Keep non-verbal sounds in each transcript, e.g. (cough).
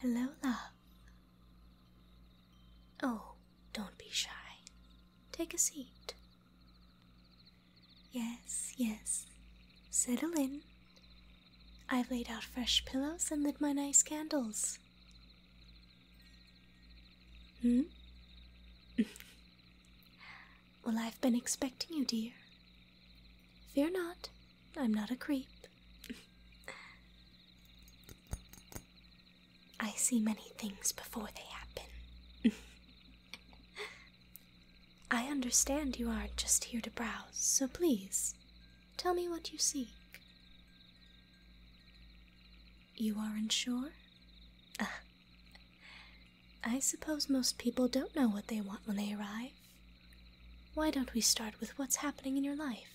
Hello, love. Oh, don't be shy. Take a seat. Yes, yes. Settle in. I've laid out fresh pillows and lit my nice candles. Hmm? (laughs) Well, I've been expecting you, dear. Fear not, I'm not a creep. I see many things before they happen. I understand you aren't just here to browse, so please, tell me what you seek. You are unsure? Ah, I suppose most people don't know what they want when they arrive. Why don't we start with what's happening in your life?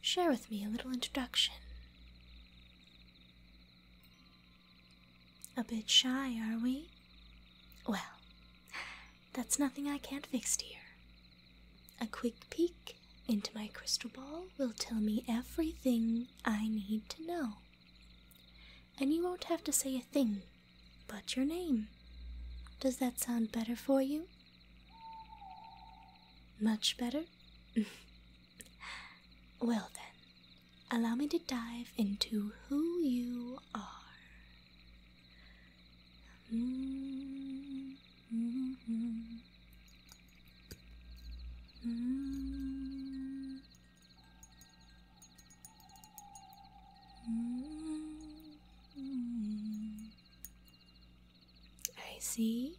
Share with me a little introduction. A bit shy, are we? Well, that's nothing I can't fix, dear. A quick peek into my crystal ball will tell me everything I need to know. And you won't have to say a thing but your name. Does that sound better for you? Much better? (laughs) well then, allow me to dive into who you are. Mm-hmm. Mm. I see.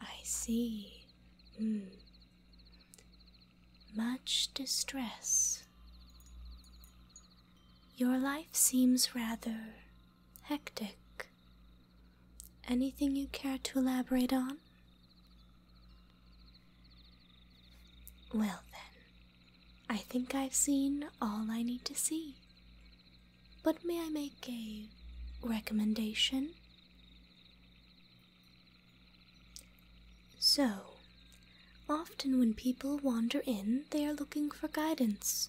I see. Hmm. Much distress. Your life seems rather hectic. Anything you care to elaborate on? Well, then, I think I've seen all I need to see. But may I make a recommendation? So, often when people wander in, they are looking for guidance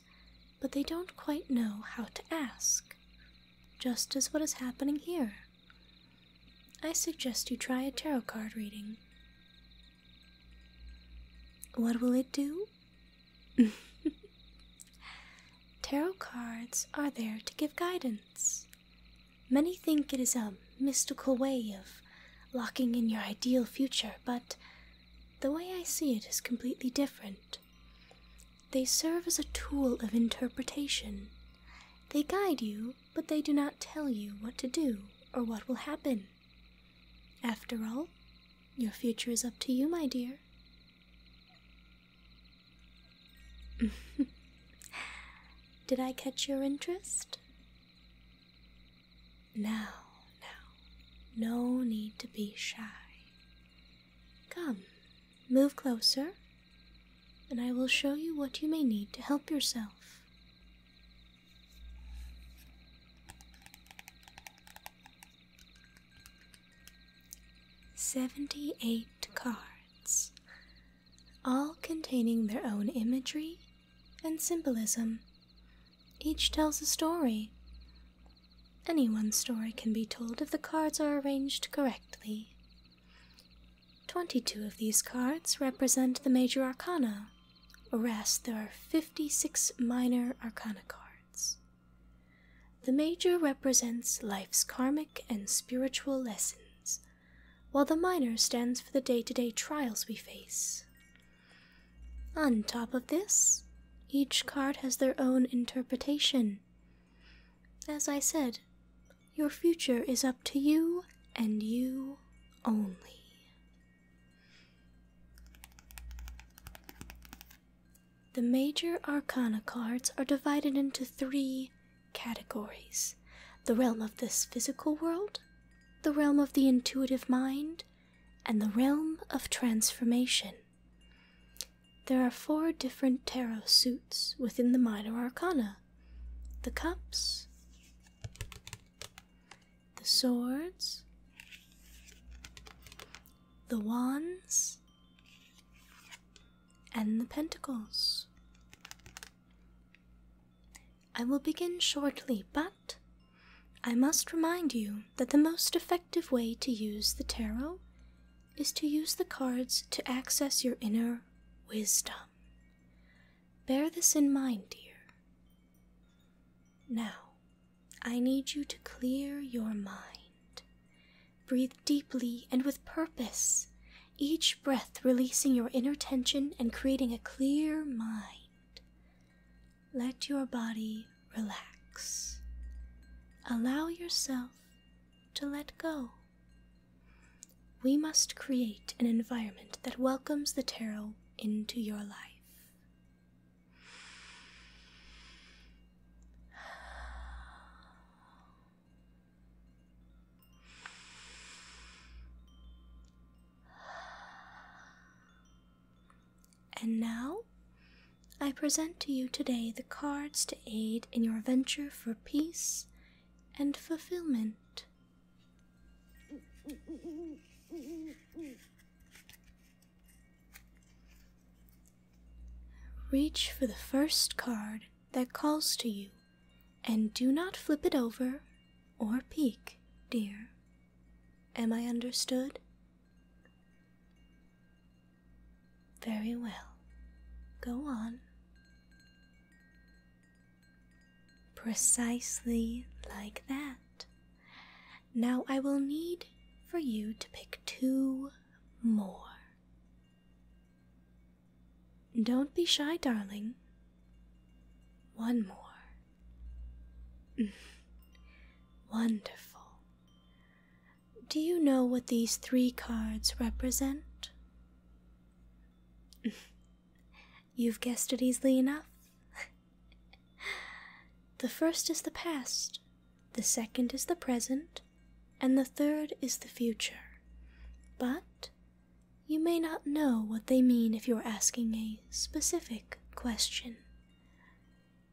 but they don't quite know how to ask, just as what is happening here. I suggest you try a tarot card reading. What will it do? (laughs) tarot cards are there to give guidance. Many think it is a mystical way of locking in your ideal future, but the way I see it is completely different. They serve as a tool of interpretation. They guide you, but they do not tell you what to do or what will happen. After all, your future is up to you, my dear. (laughs) Did I catch your interest? Now, now. No need to be shy. Come, move closer, and I will show you what you may need to help yourself. Seventy eight cards, all containing their own imagery and symbolism. Each tells a story. Any one story can be told if the cards are arranged correctly. Twenty two of these cards represent the major arcana, whereas there are fifty six minor arcana cards. The major represents life's karmic and spiritual lessons, while the minor stands for the day to day trials we face. On top of this, each card has their own interpretation. As I said, your future is up to you and you only. The major arcana cards are divided into three categories the realm of this physical world, the realm of the intuitive mind, and the realm of transformation. There are four different tarot suits within the minor arcana the cups, the swords, the wands, and the pentacles. I will begin shortly but. I must remind you that the most effective way to use the tarot is to use the cards to access your inner wisdom. Bear this in mind, dear. Now, I need you to clear your mind. Breathe deeply and with purpose, each breath releasing your inner tension and creating a clear mind. Let your body relax. Allow yourself to let go. We must create an environment that welcomes the tarot into your life. And now, I present to you today the cards to aid in your venture for peace and fulfillment. Reach for the first card that calls to you and do not flip it over or peek, dear. Am I understood? Very well. Go on. Precisely like that. Now I will need for you to pick two more. Don't be shy, darling. One more. (laughs) Wonderful. Do you know what these three cards represent? (laughs) You've guessed it easily enough. (laughs) the first is the past, the second is the present, and the third is the future. But you may not know what they mean if you're asking a specific question.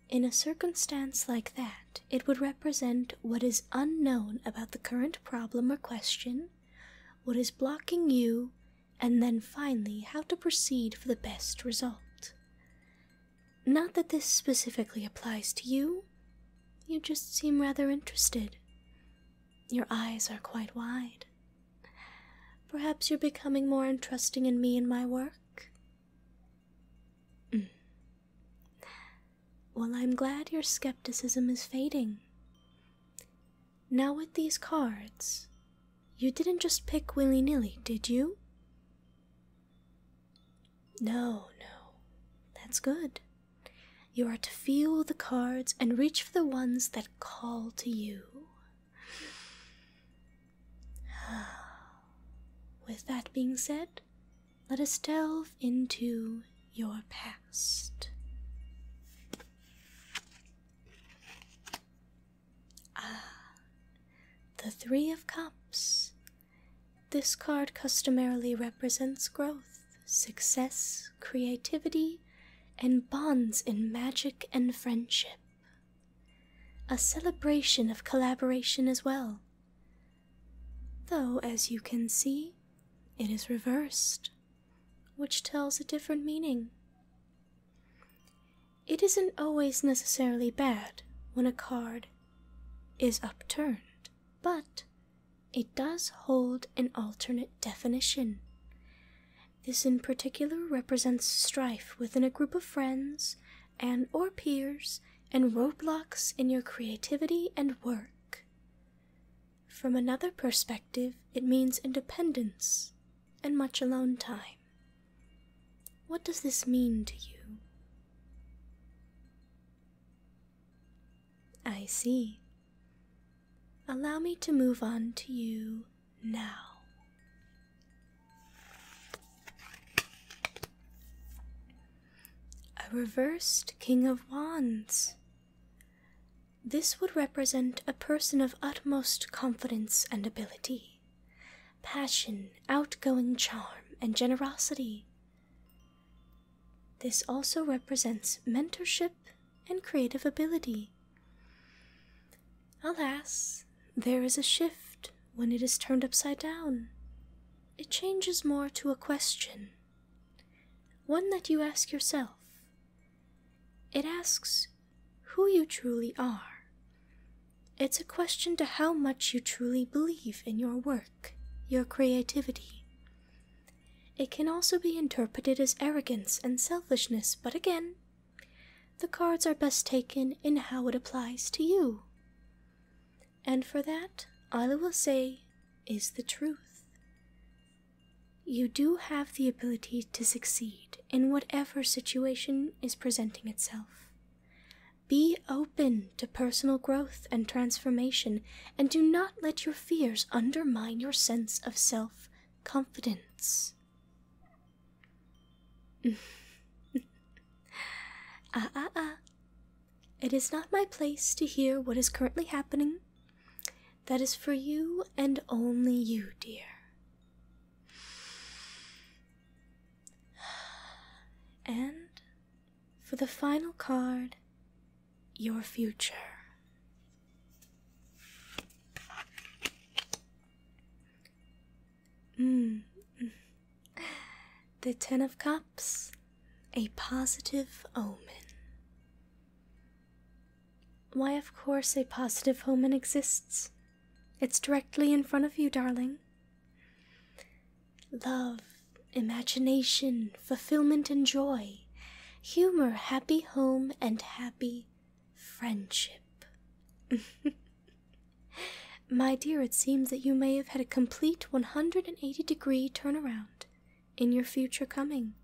In a circumstance like that, it would represent what is unknown about the current problem or question, what is blocking you, and then finally how to proceed for the best result. Not that this specifically applies to you, you just seem rather interested. Your eyes are quite wide. Perhaps you're becoming more interesting in me and my work? Mm. Well, I'm glad your skepticism is fading. Now, with these cards, you didn't just pick willy nilly, did you? No, no. That's good. You are to feel the cards and reach for the ones that call to you. (sighs) With that being said, let us delve into your past. Ah, the Three of Cups. This card customarily represents growth, success, creativity, and bonds in magic and friendship. A celebration of collaboration as well. Though, as you can see, it is reversed, which tells a different meaning. It isn't always necessarily bad when a card is upturned, but it does hold an alternate definition, this in particular represents strife within a group of friends and or peers and roadblocks in your creativity and work. From another perspective, it means independence and much alone time. What does this mean to you? I see. Allow me to move on to you now. A reversed King of Wands. This would represent a person of utmost confidence and ability, passion, outgoing charm, and generosity. This also represents mentorship and creative ability. Alas, there is a shift when it is turned upside down. It changes more to a question, one that you ask yourself. It asks who you truly are. It's a question to how much you truly believe in your work, your creativity, it can also be interpreted as arrogance and selfishness, but again, the cards are best taken in how it applies to you. And for that, I will say is the truth. You do have the ability to succeed in whatever situation is presenting itself. Be open to personal growth and transformation and do not let your fears undermine your sense of self confidence. (laughs) ah, ah, ah. It is not my place to hear what is currently happening. That is for you and only you, dear. (sighs) And for the final card, your future. Hmm. The Ten of Cups, a positive omen. Why, of course, a positive omen exists. It's directly in front of you, darling. Love imagination, fulfillment, and joy, humor, happy home, and happy friendship. (laughs) My dear, it seems that you may have had a complete 180 degree turn around in your future coming.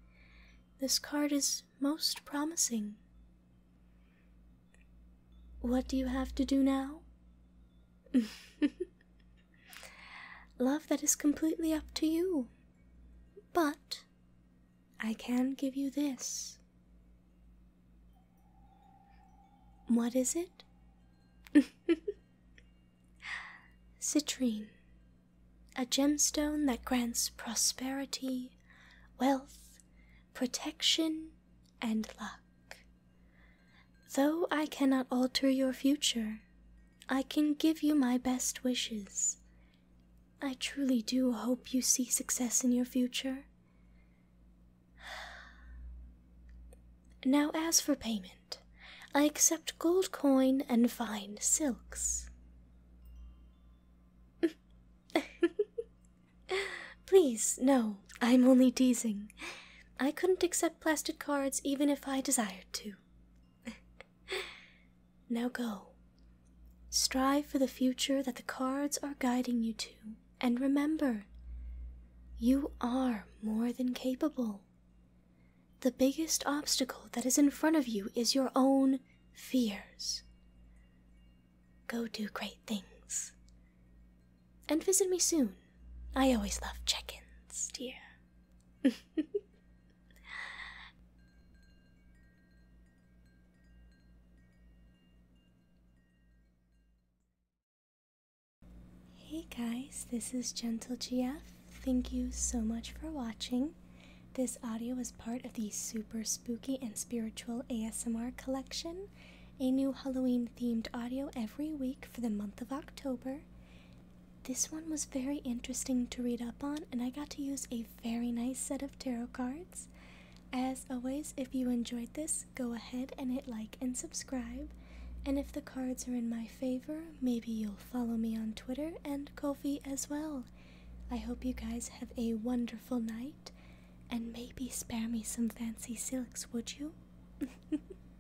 This card is most promising. What do you have to do now? (laughs) Love that is completely up to you. But I can give you this. What is it? (laughs) Citrine, a gemstone that grants prosperity, wealth, protection, and luck. Though I cannot alter your future, I can give you my best wishes. I truly do hope you see success in your future. Now, as for payment, I accept gold coin and fine silks. (laughs) Please, no, I'm only teasing. I couldn't accept plastic cards even if I desired to. (laughs) now go. Strive for the future that the cards are guiding you to, and remember, you are more than capable. The biggest obstacle that is in front of you is your own fears. Go do great things. And visit me soon. I always love check ins, dear. (laughs) hey guys, this is Gentle GF. Thank you so much for watching. This audio is part of the Super Spooky and Spiritual ASMR collection, a new Halloween themed audio every week for the month of October. This one was very interesting to read up on, and I got to use a very nice set of tarot cards. As always, if you enjoyed this, go ahead and hit like and subscribe. And if the cards are in my favor, maybe you'll follow me on Twitter and Kofi as well. I hope you guys have a wonderful night, and maybe spare me some fancy silks, would you? (laughs)